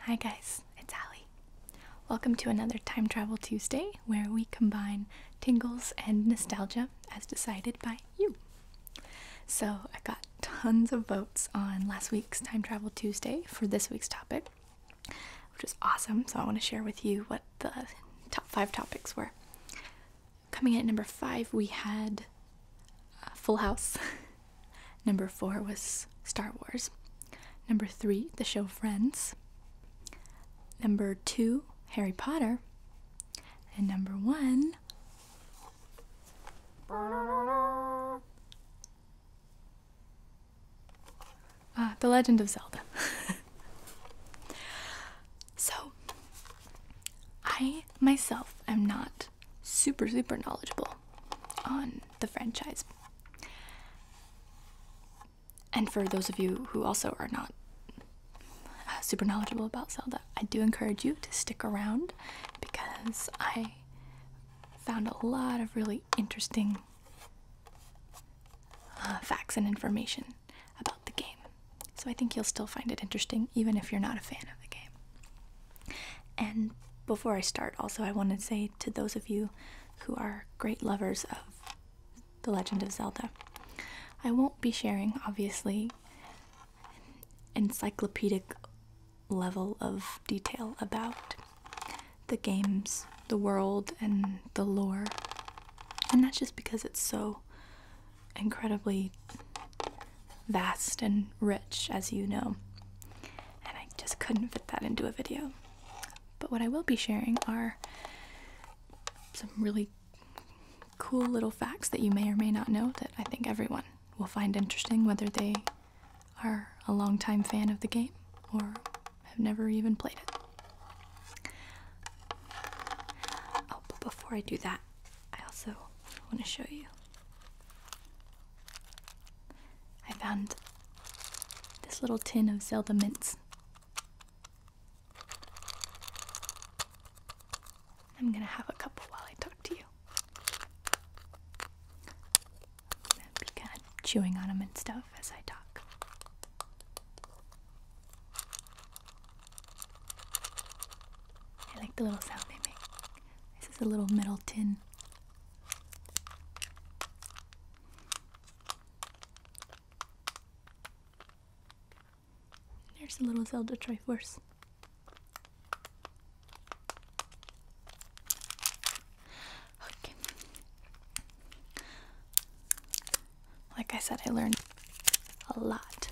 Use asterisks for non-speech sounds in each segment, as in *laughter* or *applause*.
Hi guys, it's Allie. Welcome to another Time Travel Tuesday where we combine tingles and nostalgia as decided by you. So I got tons of votes on last week's Time Travel Tuesday for this week's topic, which was awesome. So I want to share with you what the top five topics were. Coming in number five, we had Full House. *laughs* number four was Star Wars. Number three, the show Friends. Number two, Harry Potter. And number one, Ah, the Legend of Zelda. *laughs* so, I myself am not super, super knowledgeable on the franchise. And for those of you who also are not uh, super knowledgeable about Zelda, I do encourage you to stick around because I found a lot of really interesting uh, facts and information about the game. So I think you'll still find it interesting even if you're not a fan of the game. And before I start, also, I want to say to those of you who are great lovers of The Legend of Zelda, I won't be sharing, obviously, encyclopedic level of detail about the games, the world, and the lore. And that's just because it's so incredibly vast and rich, as you know. And I just couldn't fit that into a video. But what I will be sharing are some really cool little facts that you may or may not know that I think everyone will find interesting, whether they are a longtime fan of the game or I've never even played it. Oh, but before I do that, I also want to show you. I found this little tin of Zelda mints. I'm gonna have a couple while I talk to you chewing on them and stuff as I talk. I like the little sound they make. This is a little metal tin. There's a little Zelda Triforce. Like I said, I learned a lot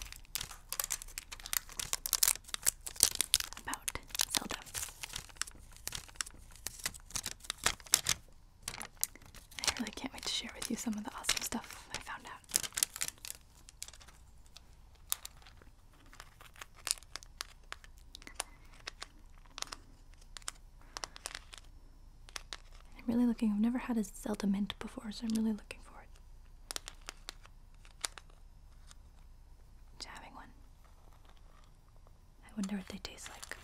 about Zelda. I really can't wait to share with you some of the awesome stuff I found out. I'm really looking. I've never had a Zelda mint before, so I'm really looking for it. having one. I wonder what they taste like.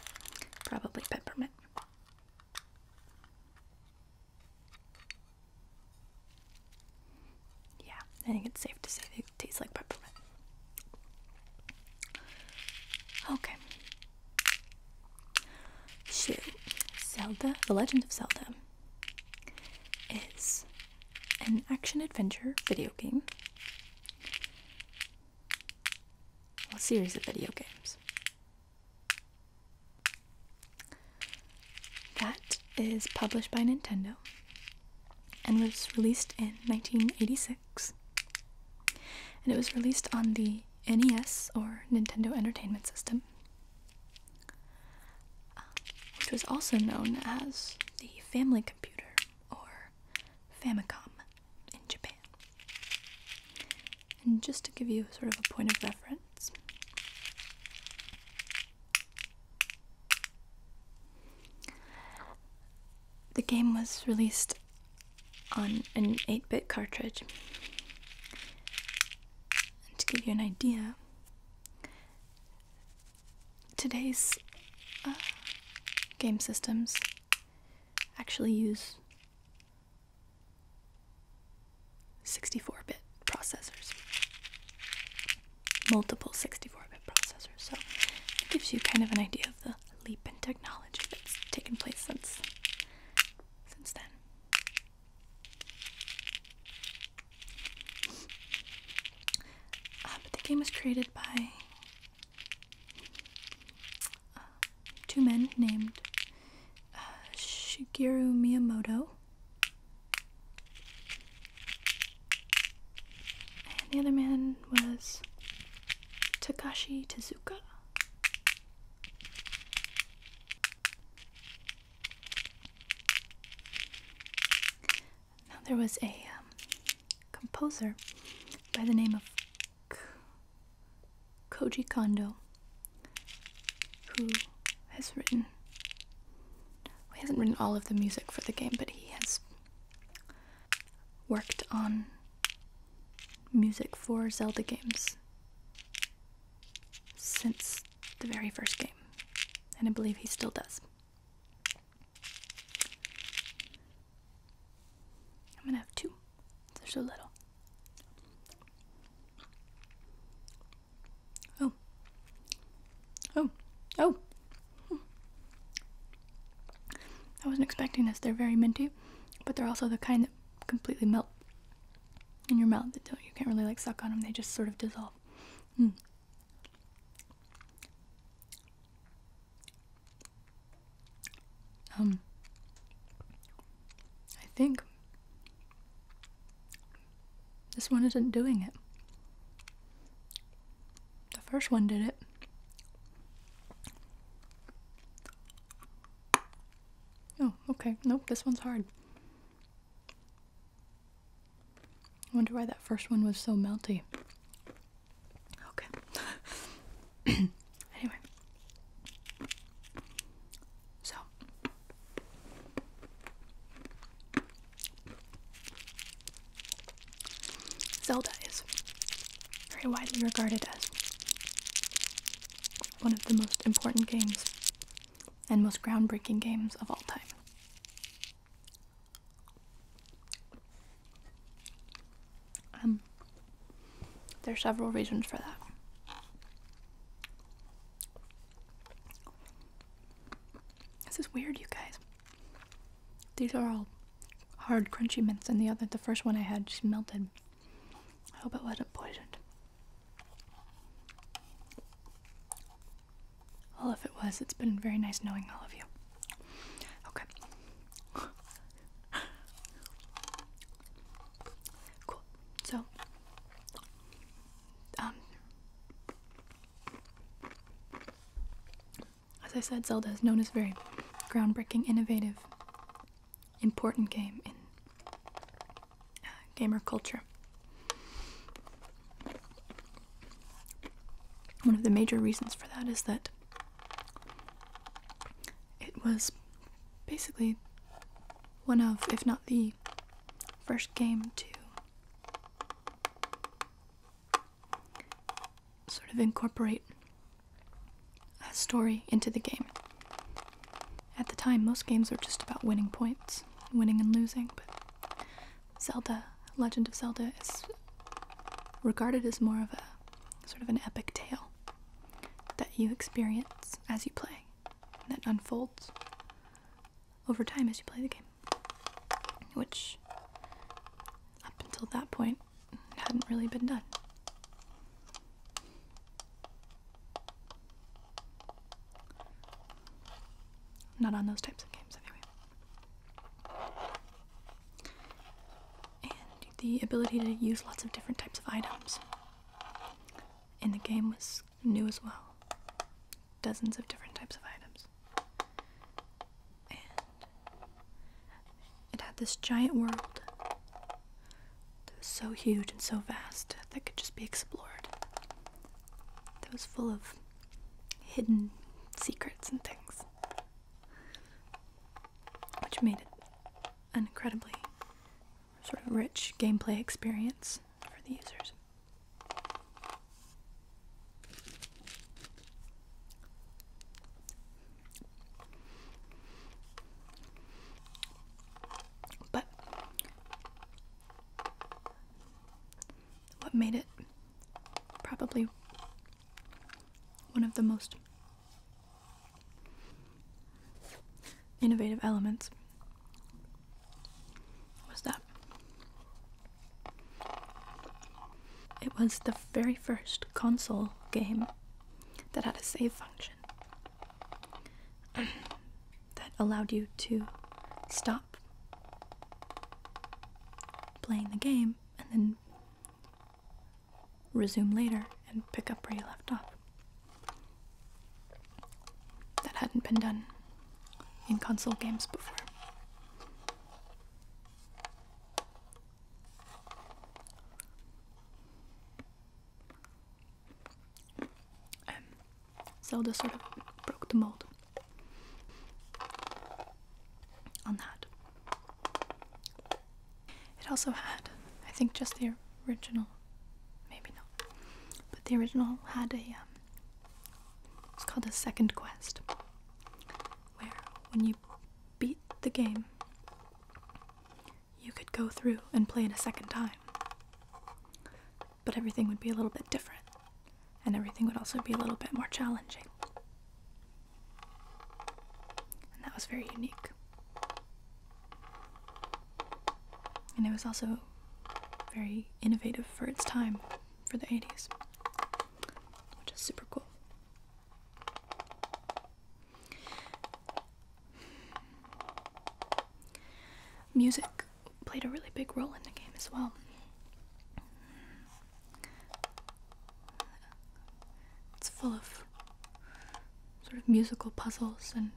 Probably peppermint. Yeah, I think it's safe to say they taste like peppermint. Okay, Shu, Zelda, The Legend of Zelda, is an action adventure video game. a series of video games. That is published by Nintendo and was released in 1986 and it was released on the NES or Nintendo Entertainment System, which was also known as the Family Computer or Famicom in Japan. And just to give you sort of a point of reference, the game was released on an 8-bit cartridge. And to give you an idea, today's uh, game systems actually use 64-bit processors. Multiple 64-bit processors, so it gives you kind of an idea of the leap in technology that's taken place since since then. but um, the game was created by uh, two men named uh, Shigeru Miyamoto and the other man was Takashi Tezuka. Now, there was a um, composer by the name of Koji Kondo who has written. he hasn't written all of the music for the game, but he has worked on music for Zelda games since the very first game, and I believe he still does. I'm gonna have two, they're so little. Oh, oh, oh. Hmm. I wasn't expecting this. They're very minty, but they're also the kind that completely melt in your mouth. They don't, you can't really like suck on them. They just sort of dissolve. Mm. Um, I think this one isn't doing it. The first one did it. Oh, okay. Nope, this one's hard. I wonder why that first one was so melty. Okay. *coughs* anyway. So. Zelda is very widely regarded as one of the most important games and most groundbreaking games of all time. Um, there are several reasons for that. This is weird, you guys. These are all hard, crunchy mints, and the other, the first one I had, just melted. I hope it wasn't poisoned. Well, if it was, it's been very nice knowing all of you. Okay. *laughs* cool. So, um, as I said, Zelda is known as very groundbreaking, innovative, important game in uh, gamer culture. One of the major reasons for that is that it was basically one of, if not the first game to sort of incorporate a story into the game. At the time, most games were just about winning points, winning and losing, but Zelda, Legend of Zelda, is regarded as more of a sort of an epic tale that you experience as you play, that unfolds over time as you play the game, which up until that point hadn't really been done. Not on those types of games, anyway. And the ability to use lots of different types of items in the game was new as well. Dozens of different types of items. It had this giant world that was so huge and so vast that could just be explored. That was full of hidden secrets and things, which made it an incredibly sort of rich gameplay experience for the users. But what made it probably one of the most innovative elements was that it was the very first console game that had a save function. *clears throat* that allowed you to stop playing the game and then resume later and pick up where you left off. That hadn't been done in console games before. Zelda sort of broke the mold on that. It also had, I think, just the original, maybe not, but the original had a, um, it's called a second quest, where when you beat the game, you could go through and play it a second time. But everything would be a little bit different, and everything would also be a little bit more challenging. And that was very unique. And it was also very innovative for its time for the 80s, which is super cool. Music played a really big role in the game as well. It's full of sort of musical puzzles and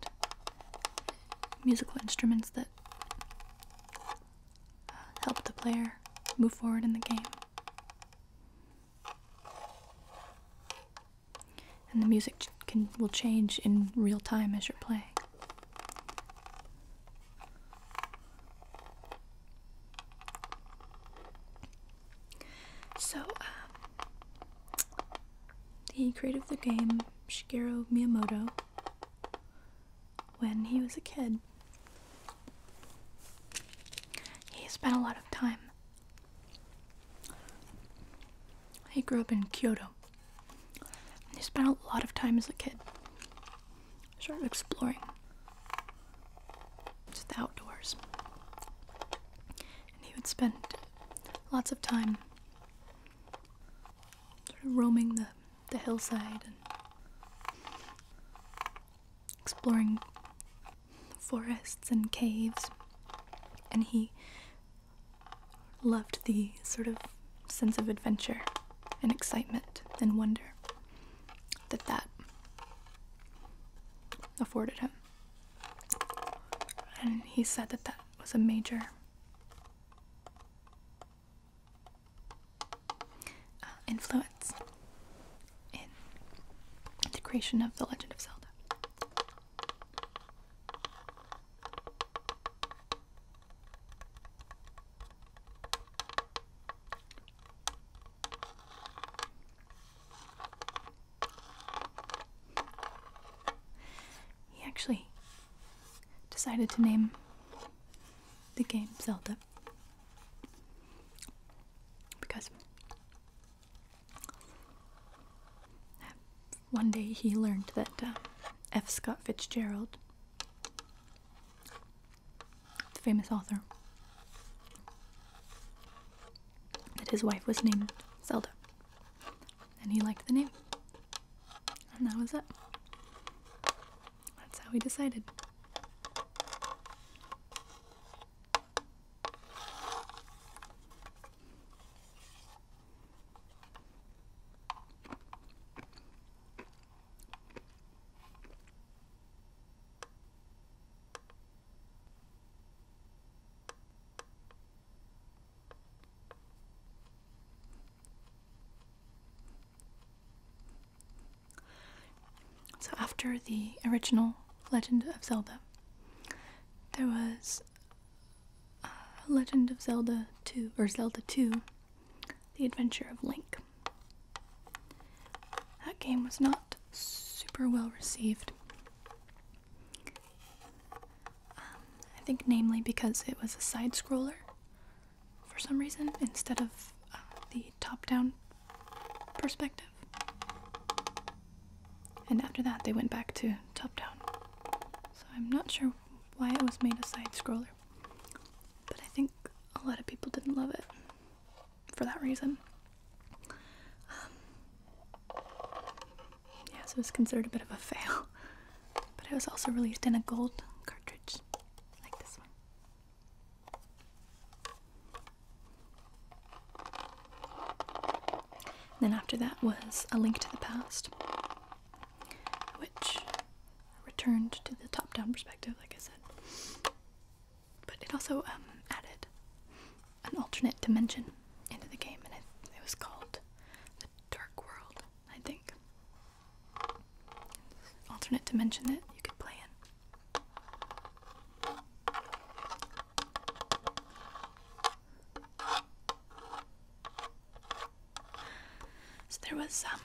musical instruments that uh, help the player move forward in the game and the music can will change in real time as you're playing. So, um, the creator of the game, Shigeru Miyamoto, when he was a kid, he spent a lot of time he grew up in Kyoto. He spent a lot of time as a kid sort of exploring just the outdoors. And he would spend lots of time sort of roaming the, the hillside and exploring forests and caves. And he loved the sort of sense of adventure and excitement and wonder that that afforded him. And he said that that was a major uh, influence in the creation of The Legend of Zelda. He actually decided to name the game Zelda because one day he learned that uh, F. Scott Fitzgerald, the famous author, that his wife was named Zelda. And he liked the name. And that was it. That's how he decided. So, after the original Legend of Zelda, there was uh, Legend of Zelda 2 or Zelda 2 The Adventure of Link. That game was not super well received. Um, I think, namely, because it was a side scroller for some reason instead of uh, the top down perspective. And after that, they went back to top down. So I'm not sure why it was made a side scroller, but I think a lot of people didn't love it for that reason. Um, yeah, so it was considered a bit of a fail. *laughs* But it was also released in a gold cartridge, like this one then after that was A Link to the Past, which returned to the top down perspective, like I said. But it also um, added an alternate dimension into the game, and it, it was called The Dark World, I think. Alternate dimension that you could play in. So there was um,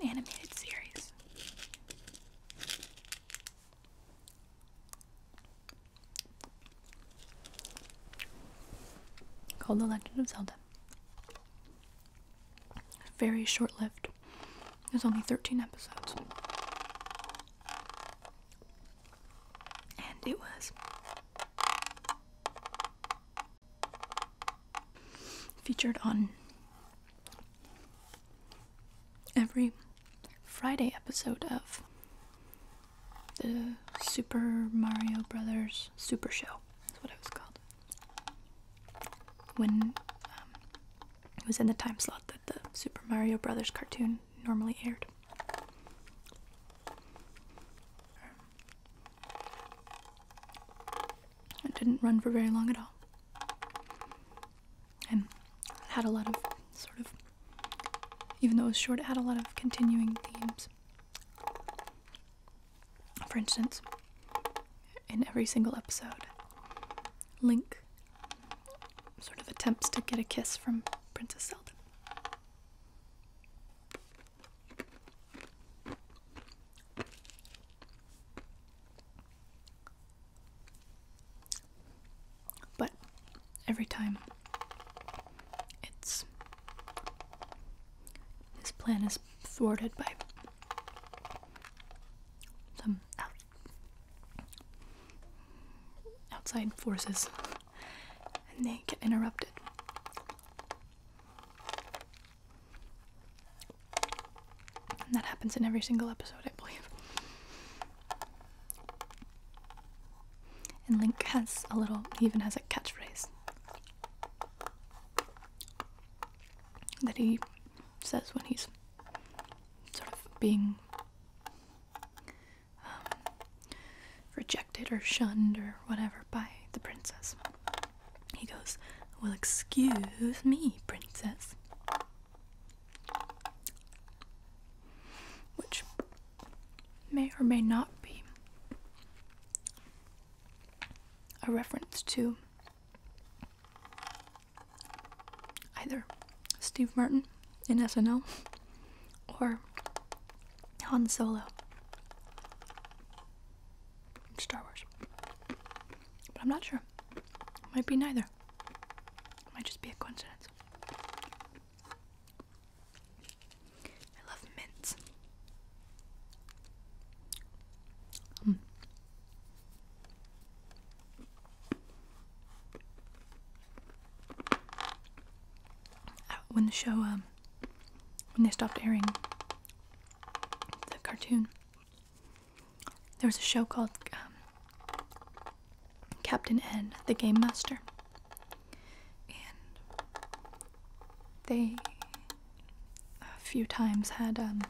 an animated series. Called The Legend of Zelda. Very short lived. There's only 13 episodes. And it was. Featured on every Friday episode of the Super Mario Brothers Super Show. That's what it was called. When um, it was in the time slot that the Super Mario Brothers cartoon normally aired. It didn't run for very long at all. And had a lot of sort of, even though it was short, it had a lot of continuing themes. For instance, in every single episode, Link sort of attempts to get a kiss from Princess Zelda. But every time it's his plan is thwarted by some outside forces and they get interrupted. And that happens in every single episode, I believe. And Link has a little, he even has a catchphrase that he says when he's sort of being um, rejected or shunned or whatever by the princess. He goes, Well, excuse me, princess. Which may or may not be a reference to either Steve Martin in SNL or Han Solo. Star Wars. But I'm not sure. Might be neither. Might just be a coincidence. I love mints. Hmm. Uh, when the show, um, when they stopped airing the cartoon. There was a show called um, Captain N, the Game Master, and they a few times had um,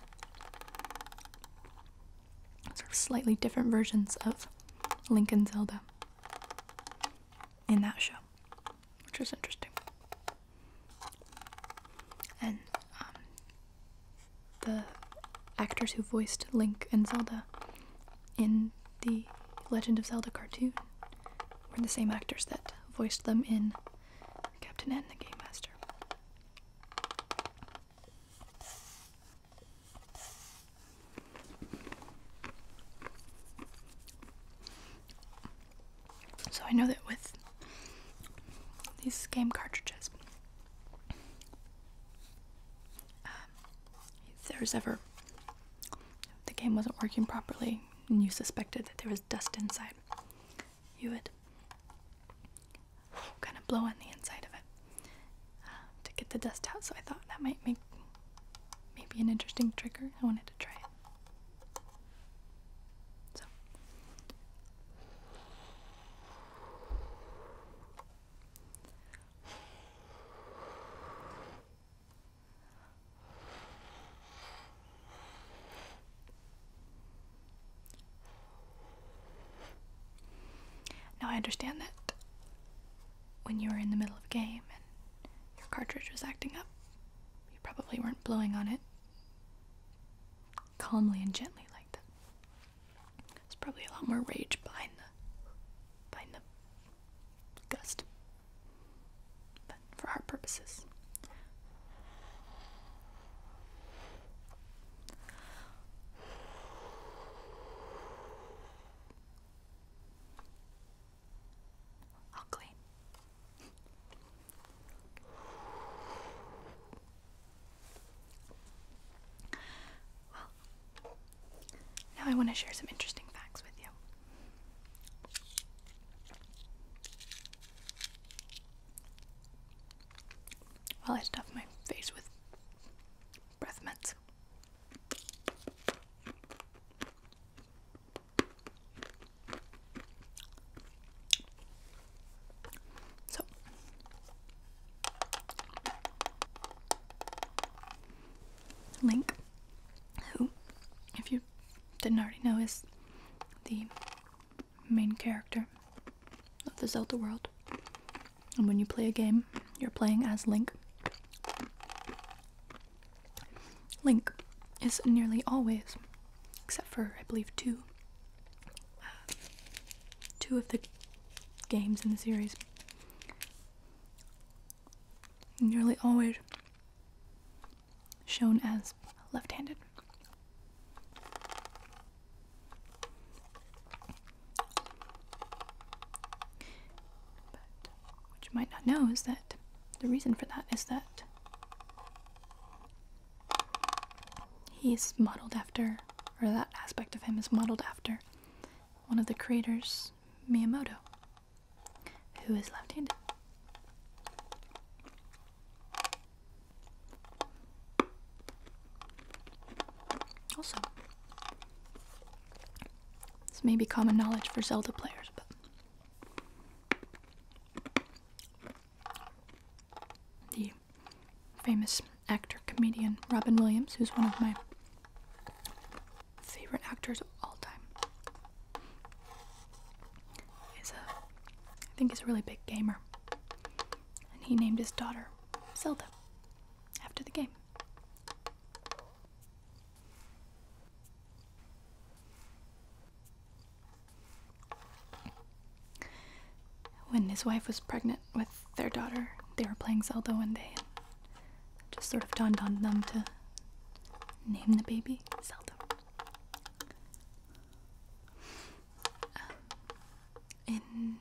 sort of slightly different versions of Link and Zelda in that show which was interesting. And um, the actors who voiced Link and Zelda in the Legend of Zelda cartoon were the same actors that voiced them in Captain N the Game Master. So I know that with these game cartridges, um, if there's ever the game wasn't working properly and you suspected that there was dust inside, you would kind of blow on the inside of it uh, to get the dust out. So I thought that might make maybe an interesting trigger. I wanted to try it. So. Now I understand that when you were in the middle of a game and your cartridge was acting up, you probably weren't blowing on it calmly and gently like that. There's probably a lot more rage behind the behind the gust. But for our purposes. All clean. Well, now I want to share some interesting facts with you. While I stuff my face with breath mints. So Link, who, if you didn't already know, is the main character of the Zelda world. And when you play a game, you're playing as Link. Link is nearly always, except for I believe two, uh, two of the games in the series, nearly always shown as left-handed what you might not know is that the reason for that is that he's modeled after, or that aspect of him is modeled after, one of the creators, Miyamoto, who is left handed. Also, this may be common knowledge for Zelda players, but the famous actor comedian Robin Williams, who's one of my favorite actors of all time, is a I think he's a really big gamer, and he named his daughter Zelda after the game. When his wife was pregnant with their daughter, they were playing Zelda one day, and just sort of dawned on them to name the baby Zelda. Um, in,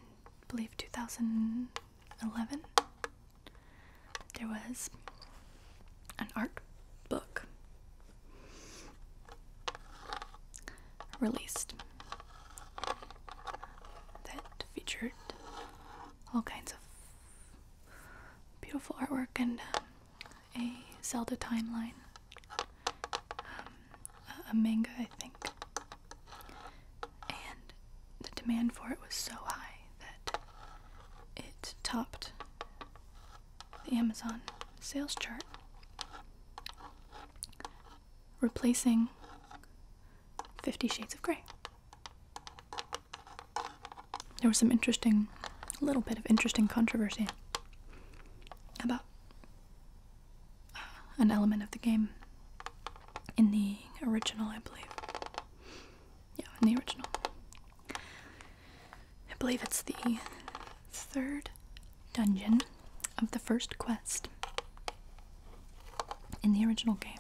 believe, 2011, there was an art book released that featured all kinds of beautiful artwork and um, a Zelda timeline, um, a manga, I think. And the demand for it was so high that it topped the Amazon sales chart, replacing Fifty Shades of Grey. There was some interesting, a little bit of interesting controversy about uh, an element of the game in the original, I believe. Yeah, in the original. I believe it's the third dungeon of the first quest in the original game.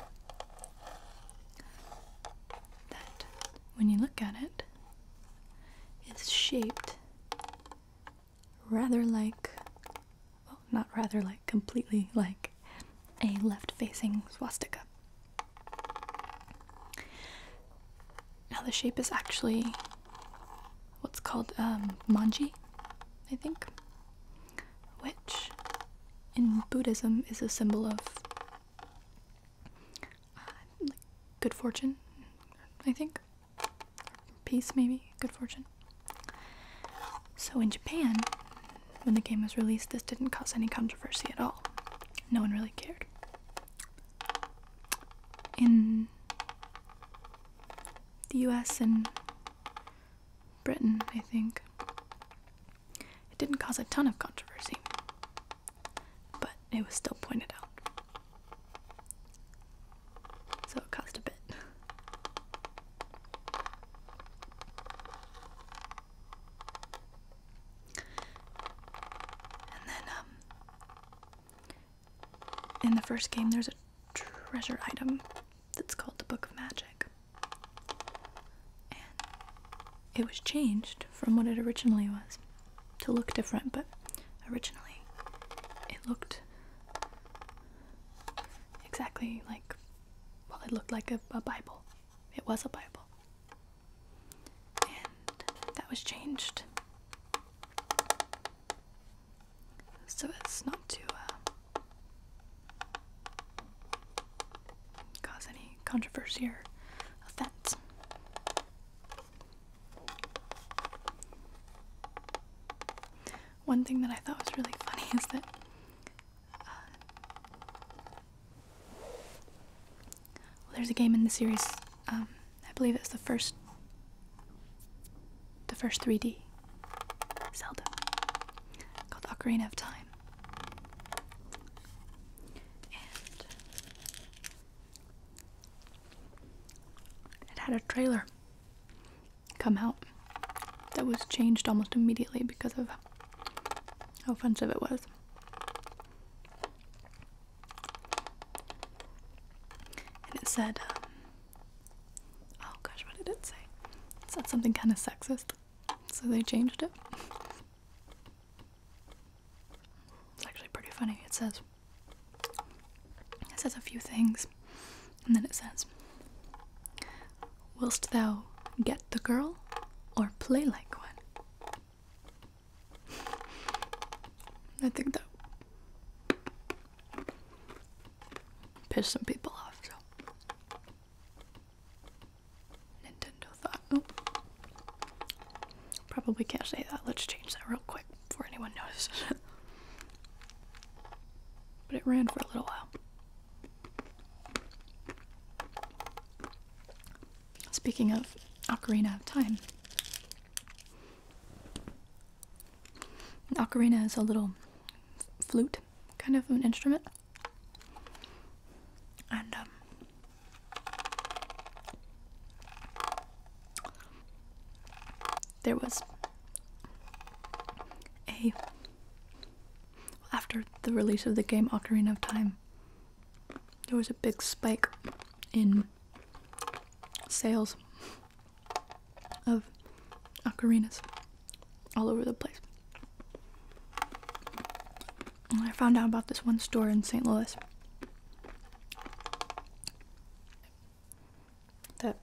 That, when you look at it, is shaped rather like, well, not rather like, completely like a left facing swastika. Now the shape is actually what's called um, manji, I think, which in Buddhism is a symbol of uh, good fortune, I think. Peace, maybe, good fortune. So in Japan, when the game was released, this didn't cause any controversy at all. No one really cared in the US and Britain, I think. It didn't cause a ton of controversy, but it was still pointed out. So it cost a bit. And then, um, in the first game, there's a treasure item that's called the Book of Magic. And it was changed from what it originally was to look different, but originally it looked exactly like, well, it looked like a Bible. It was a Bible and that was changed so it's not to uh, cause any controversy or offense. One thing that I thought was really funny *laughs* is that uh, well, there's a game in the series. Um, I believe it's the first, the first 3D Zelda called Ocarina of Time. And it had a trailer come out that was changed almost immediately because of how offensive it was. And it said, um, oh gosh, what did it say? It said something kind of sexist, so they changed it. It's actually pretty funny. It says, it says a few things, and then it says, Willst thou get the girl or play like one? I think that pissed some people off, so Nintendo thought, oh, probably can't say that. Let's change that real quick before anyone notices it. *laughs* but it ran for a little while. Speaking of Ocarina of Time, ocarina is a little flute kind of an instrument. And um, there was a after the release of the game Ocarina of Time, there was a big spike in sales of ocarinas all over the place. I found out about this one store in St. Louis that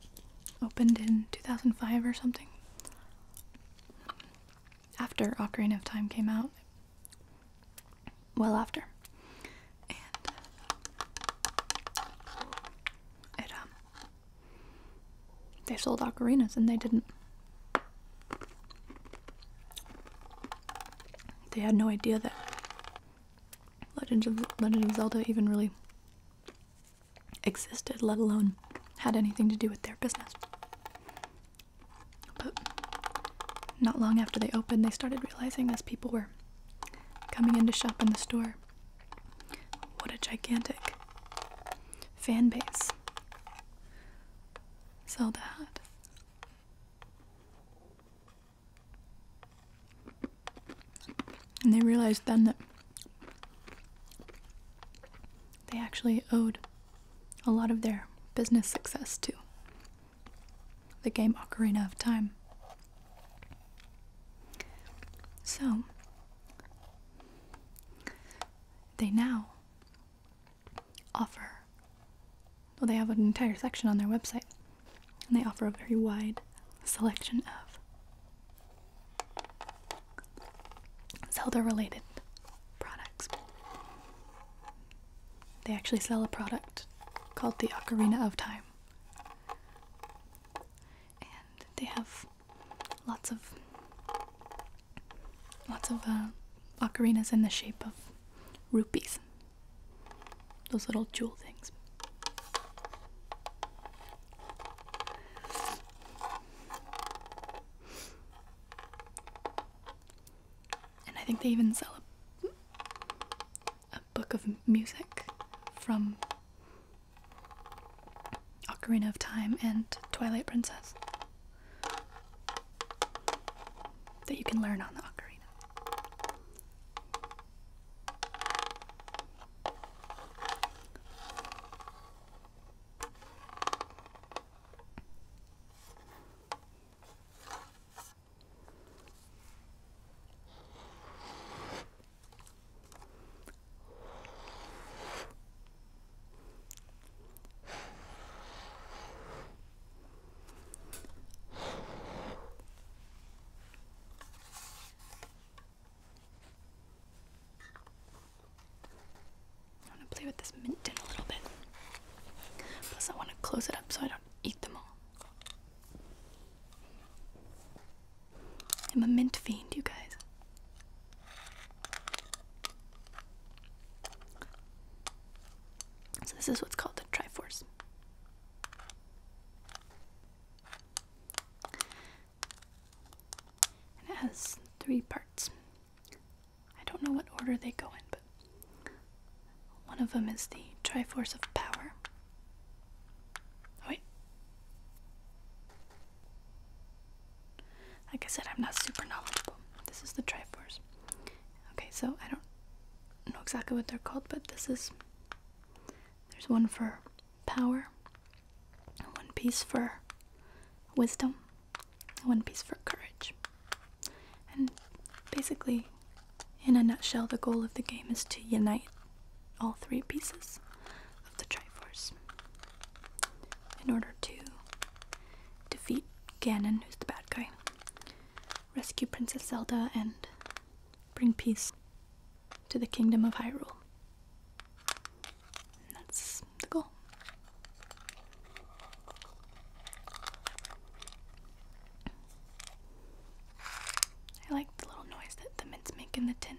opened in 2005 or something after Ocarina of Time came out well after. And uh, um, they sold ocarinas and they didn't they had no idea that Legend of Legend of Zelda even really existed, let alone had anything to do with their business. But not long after they opened, they started realizing as people were coming in to shop in the store what a gigantic fan base Zelda had. And they realized then that they actually owed a lot of their business success to the game Ocarina of Time. So, they now offer, well, they have an entire section on their website, and they offer a very wide selection of Zelda related products. They actually sell a product called the Ocarina of Time. And they have lots of lots of uh, ocarinas in the shape of rupees. Those little jewel things and I think they even sell a, book of music from Ocarina of Time and Twilight Princess that you can learn on the ocarina. I want to play with this mint in a little bit. Plus, I want to close it up so I don't eat them all. I'm a mint fiend, you guys. So this is what's called a triforce. And it has three parts. I don't know what order they go in, but one of them is the Triforce of Power. Oh, wait. Like I said, I'm not super knowledgeable. This is the Triforce. Okay, so I don't know exactly what they're called, but this is. There's one for power, one piece for wisdom, and one piece for courage. And basically, in a nutshell, the goal of the game is to unite all three pieces of the Triforce in order to defeat Ganon, who's the bad guy, rescue Princess Zelda, and bring peace to the kingdom of Hyrule. that's the goal. I like the little noise that the mints make in the tin.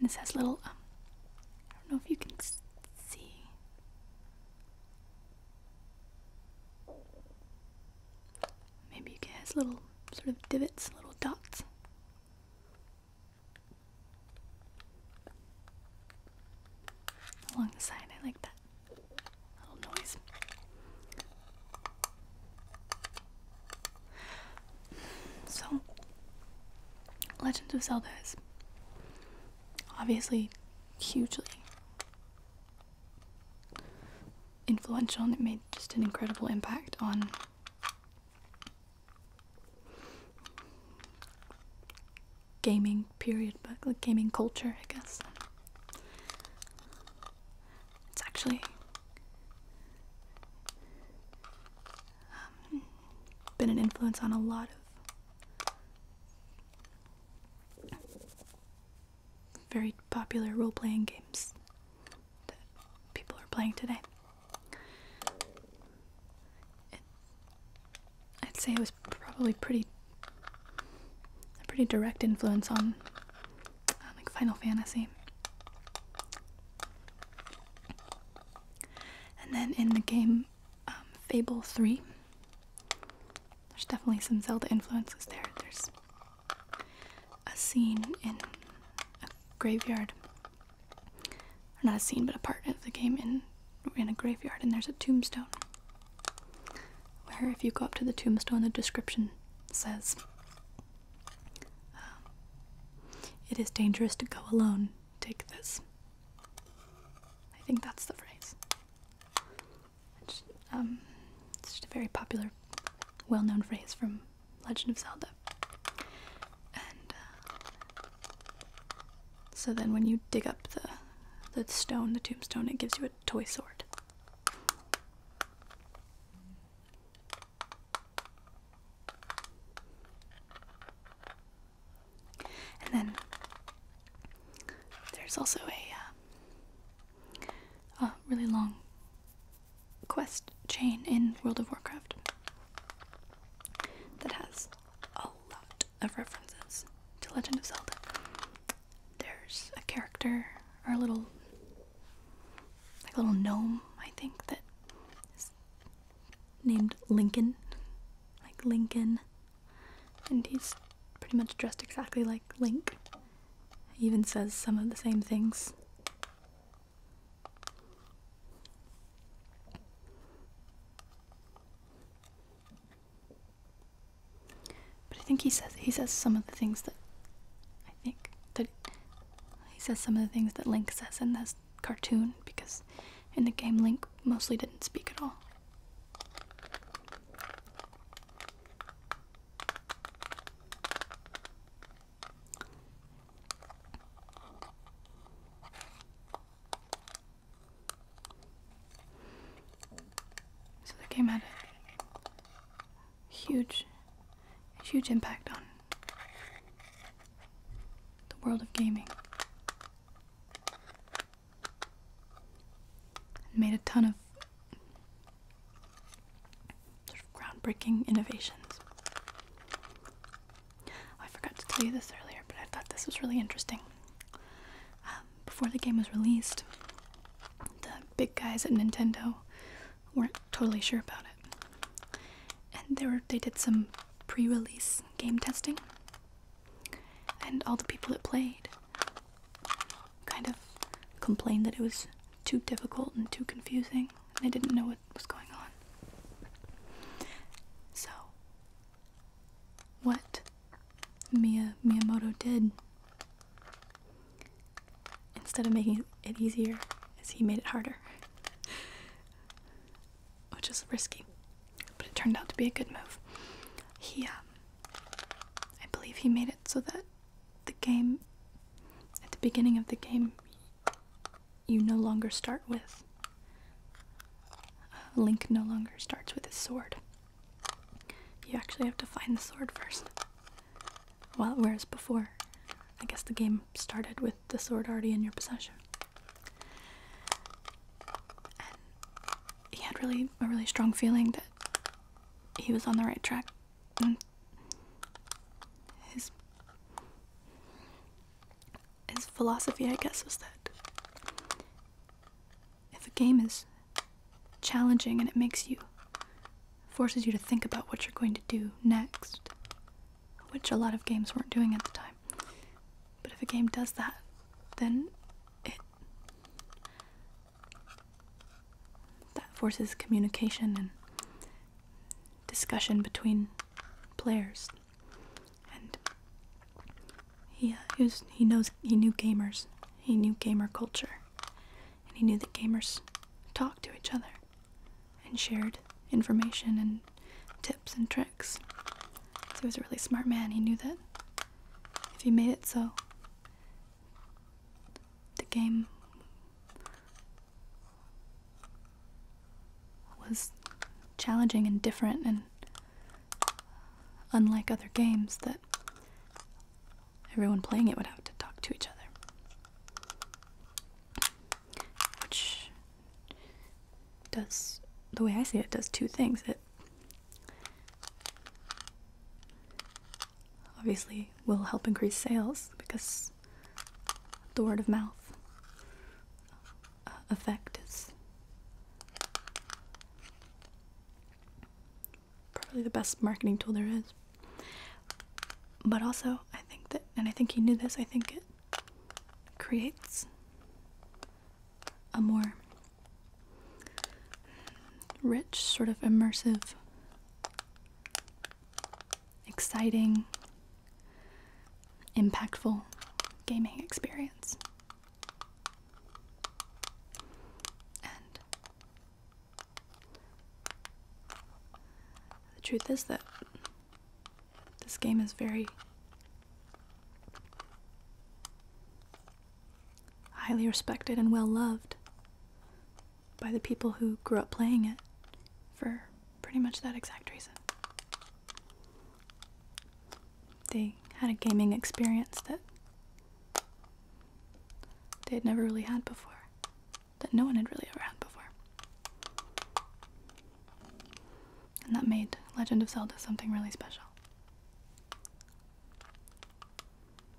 This has little, um, I don't know if you can see, Maybe you can has little sort of divots, little dots. Along the side, I like that little noise. So, Legends of Zelda is obviously hugely influential and it made just an incredible impact on gaming period but like gaming culture i guess it's actually um, been an influence on a lot of very popular role playing games that people are playing today. I'd say it was probably pretty a pretty direct influence on like Final Fantasy. And then in the game um, Fable 3, there's definitely some Zelda influences there. There's a scene in a graveyard. Or not a scene, but a part of the game in in a graveyard and there's a tombstone. Where if you go up to the tombstone the description says um, it is dangerous to go alone. Take this. I think that's the phrase. Um, it's, just a very popular, well-known phrase from Legend of Zelda. And uh, so then, when you dig up the the stone, the tombstone, it gives you a toy sword. And then there's also uh, a, really long quest chain in World of Warcraft that has a lot of references to Legend of Zelda. There's a character, or a little, like a little gnome, I think, that is named Lincoln. Like Lincoln and he's pretty much dressed exactly like Link. He even says some of the same things. But I think he says he says some of the things that I think that he says some of the things that Link says in this cartoon because in the game Link mostly didn't speak at all. So the game had a huge, huge impact on the world of gaming and made a ton of groundbreaking innovations. Oh, I forgot to tell you this earlier, but I thought this was really interesting. Um, before the game was released, the big guys at Nintendo weren't totally sure about it, and they were they did some pre-release game testing, and all the people that played kind of complained that it was too difficult and too confusing. They didn't know what was going on. So, what Mia Miyamoto did instead of making it easier is he made it harder, *laughs* which is risky, but it turned out to be a good move. He um, I believe he made it so that the game, at the beginning of the game, you no longer start with. Uh, Link no longer starts with his sword. You actually have to find the sword first. Well, whereas before, I guess the game started with the sword already in your possession he had really a really strong feeling that he was on the right track his his philosophy i guess was that if a game is challenging and it makes you forces you to think about what you're going to do next which a lot of games weren't doing at the time but if a game does that then it that forces communication and discussion between players and he, uh, he, was, he knows he knew gamers he knew gamer culture and he knew that gamers talked to each other and shared information and tips and tricks so he was a really smart man he knew that if you made it so the game was challenging and different and unlike other games that everyone playing it would have to talk to each other which does the way i see it does two things it obviously will help increase sales because the word of mouth uh, effect is probably the best marketing tool there is. But also, I think that, and I think he knew this, I think it creates a more rich, sort of immersive, exciting, impactful gaming experience. And the truth is that this game is very highly respected and well loved by the people who grew up playing it for pretty much that exact reason. They had a gaming experience that they had never really had before, that no one had really ever had before. And that made Legend of Zelda something really special.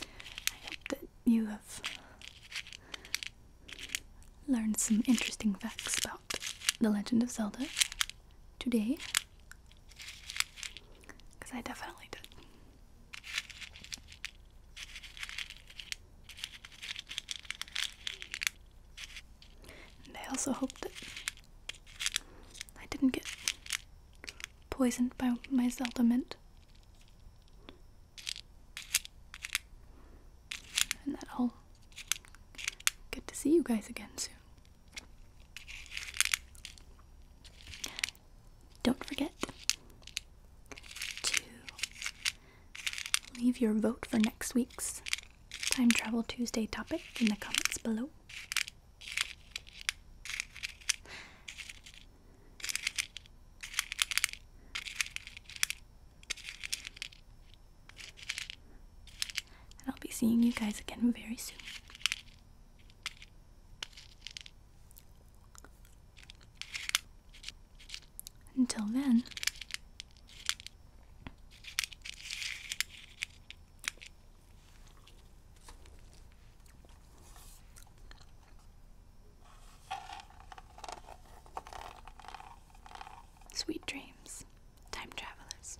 I hope that you have learned some interesting facts about The Legend of Zelda today. Because I definitely did. And I also hope that I didn't get poisoned by my Zelda mint. And that will get to see you guys again soon. Don't forget to leave your vote for next week's Time Travel Tuesday topic in the comments below. And I'll be seeing you guys again very soon. Until then, Sweet dreams, time travelers.